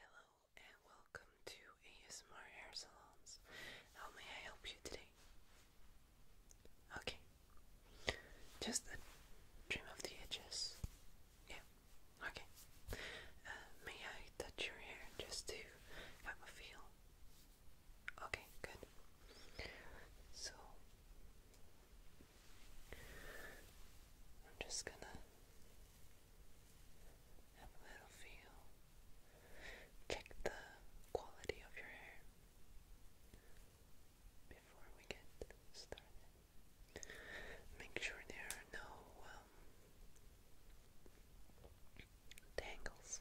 Hello and welcome to ASMR Hair How may I help you today? Okay. Just a trim of the edges. Yeah. Okay. Uh, may I touch your hair just to have a feel? Okay, good. So I'm just gonna have a little feel. Check the quality of your hair before we get started. Make sure there are no um, tangles.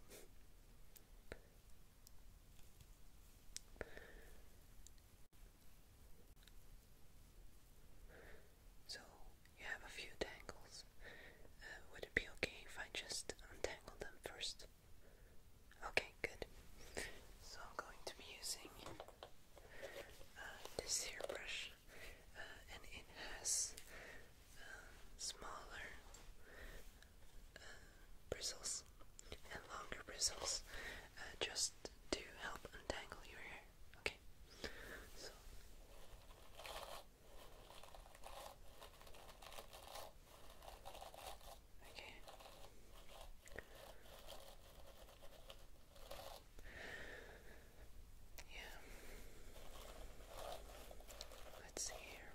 So you have a few tangles. Uh, would it be okay if I just untangle them first? Okay, good. So I'm going to be using uh, this hairbrush, uh, and it has uh, smaller bristles and longer bristles, just to help untangle your hair. Okay. Okay. So Okay. Yeah. Let's see here.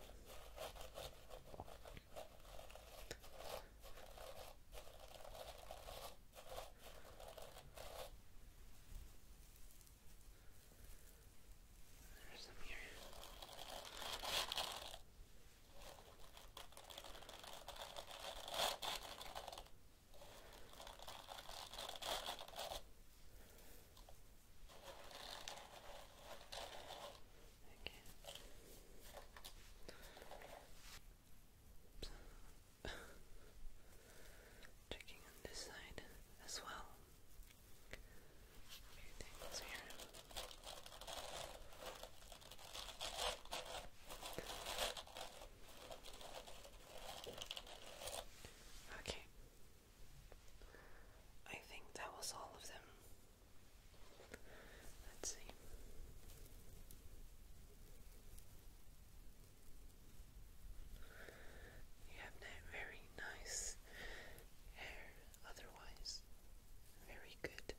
There's some here. Okay. Checking on this side as well. Okay. I think that was all of them. Let's see. You have that very nice hair, otherwise, very good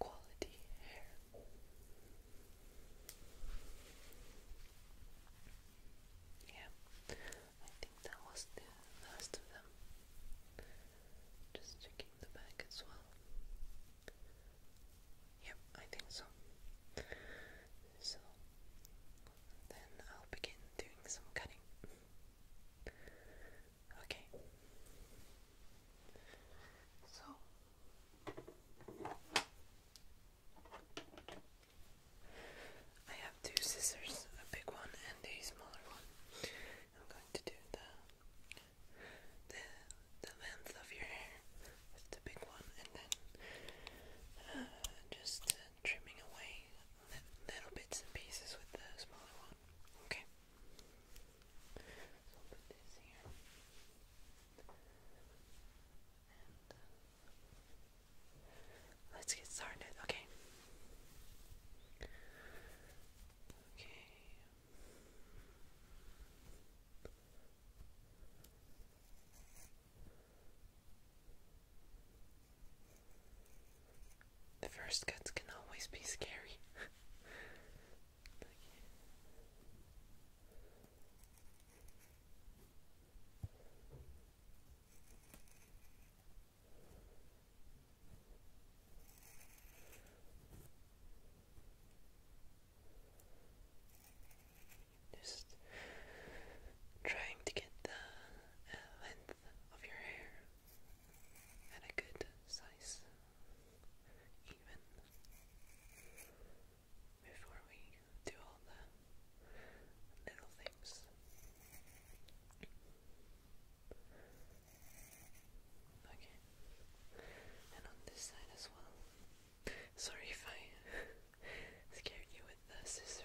quality hair. Yeah, I think that was the last of them. Just checking the back as well. Yep, I think so. So then I'll begin doing some cutting. Okay. So I have two scissors, a big one and a smaller one. I'm going to do the the the length of your hair with the big one, and then uh, just uh, trimming away little bits and pieces with the smaller one. Okay. Uh, let's get started, okay? Okay. The first cuts can always be scary. Just trying to get the uh, length of your hair and a good size, even before we do all the little things. Okay, and on this side as well. Sorry if I scared you with the scissors.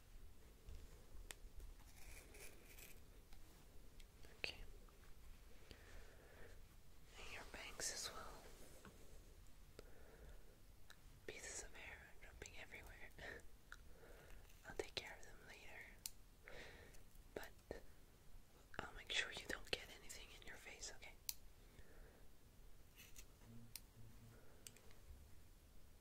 Okay. your bangs as well. Pieces of hair dropping everywhere. I'll take care of them later. But I'll make sure you don't get anything in your face, okay?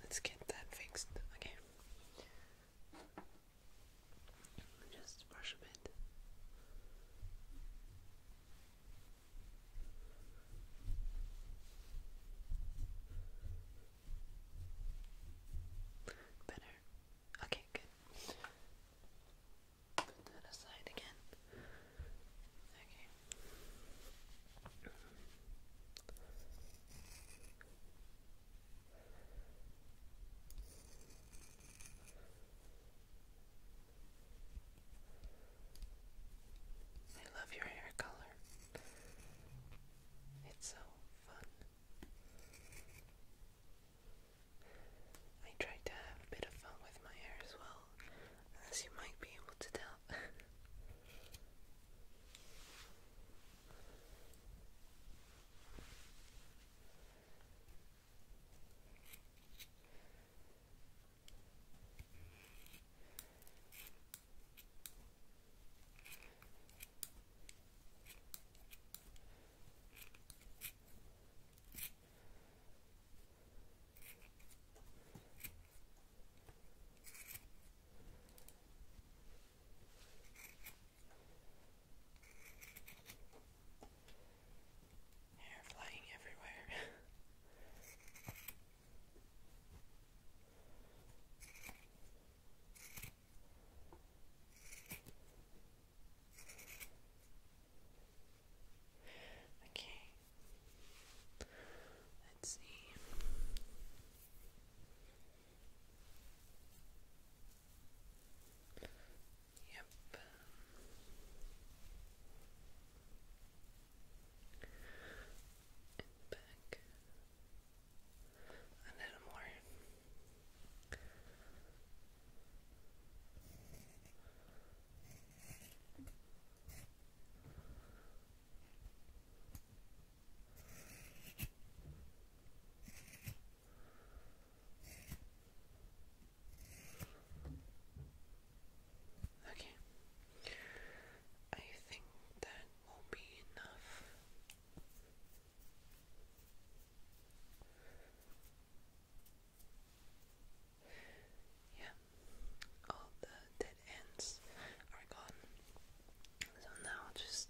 Let's get that fixed. Okay. Just brush a bit. Okay. Better. Okay, good. Put that aside again. Okay. I love your hair color. It's so I tried to have a bit of fun with my hair as well, as you might be able to tell. Hair flying everywhere. Okay. Let's see. Yep. back a little more. Okay, I think that will be enough. Yeah, all the dead ends are gone. So now just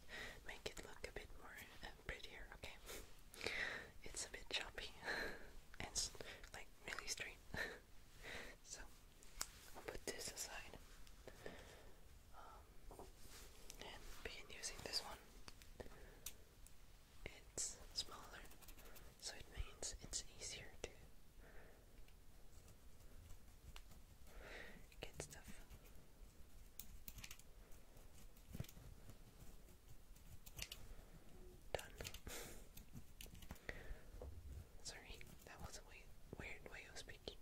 make it look a bit more uh, prettier, okay? It's a bit choppy and like really straight. so I'll put this aside. Um, and begin using this one. It's smaller, so it means it's easier to get stuff. Done. Sorry, that was a weird way of speaking.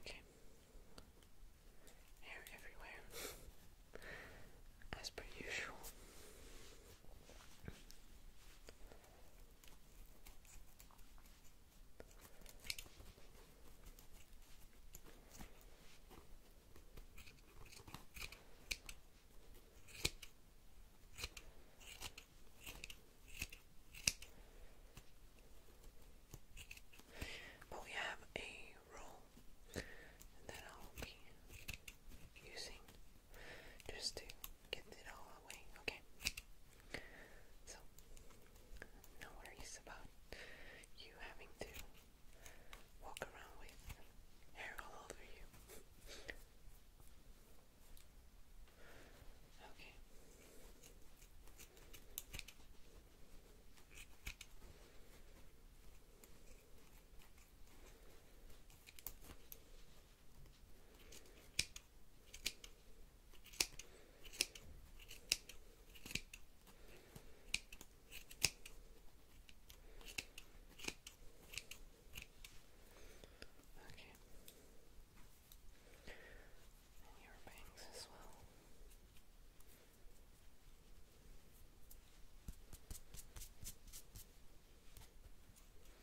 Okay. Hair everywhere, as per usual. But we have a roll that I'll be using just to get it all away, okay? So, no worries about you having to walk around with hair all over you. Okay. Okay. And your bangs as well. Okay.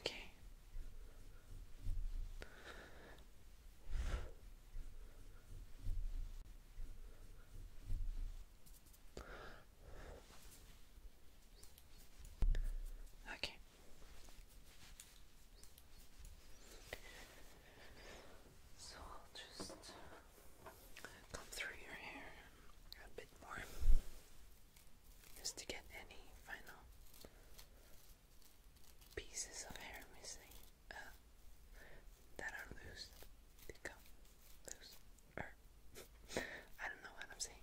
Okay. Okay. So I'll just come through your hair a bit more. Just to get any final pieces of hair missing uh, that are loose to come loose. I don't know what I'm saying.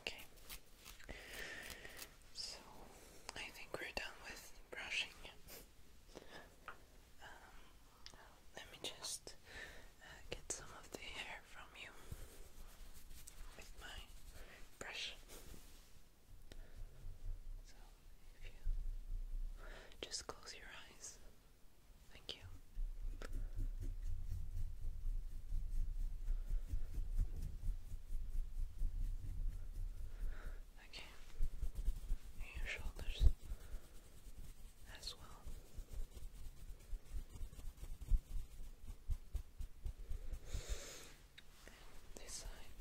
Okay, so I think we're done with brushing. Um, let me just uh, get some of the hair from you with my brush. So if you just close your eyes. Thank you. Okay. your shoulders as well this side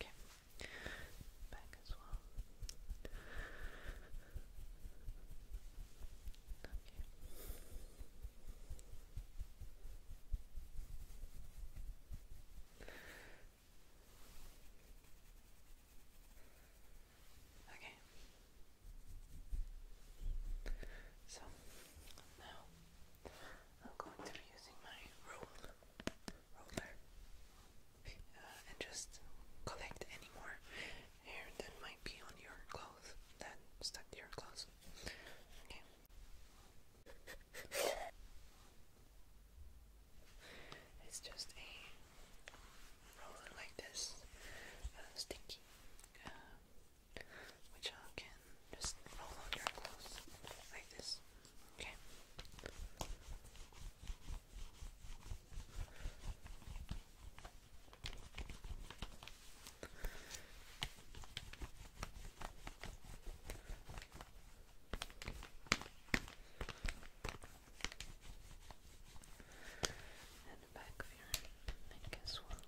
okay back as well okay Okay. So now I'm going to be using my roller, uh, and just collect any more hair that might be on your clothes that stuck to your clothes. Okay it's just a roller like this, uh, sticky, which I can just roll on your clothes like this. Okay and the back of your neck as well.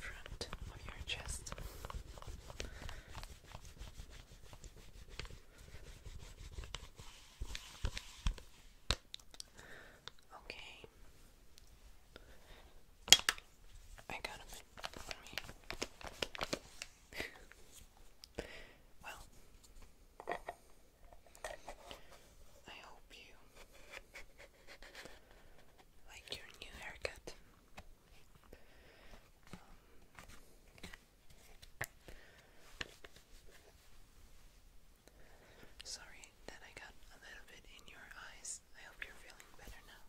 Front of your chest Okay. I got a well, I hope you like your new haircut. Um, sorry that I got a little bit in your eyes. I hope you're feeling better now.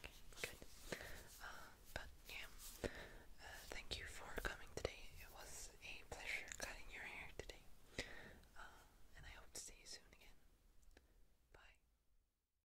okay, good. Uh, but yeah, uh, thank you for coming today. It was a pleasure cutting your hair today. Uh, and I hope to see you soon again. Bye.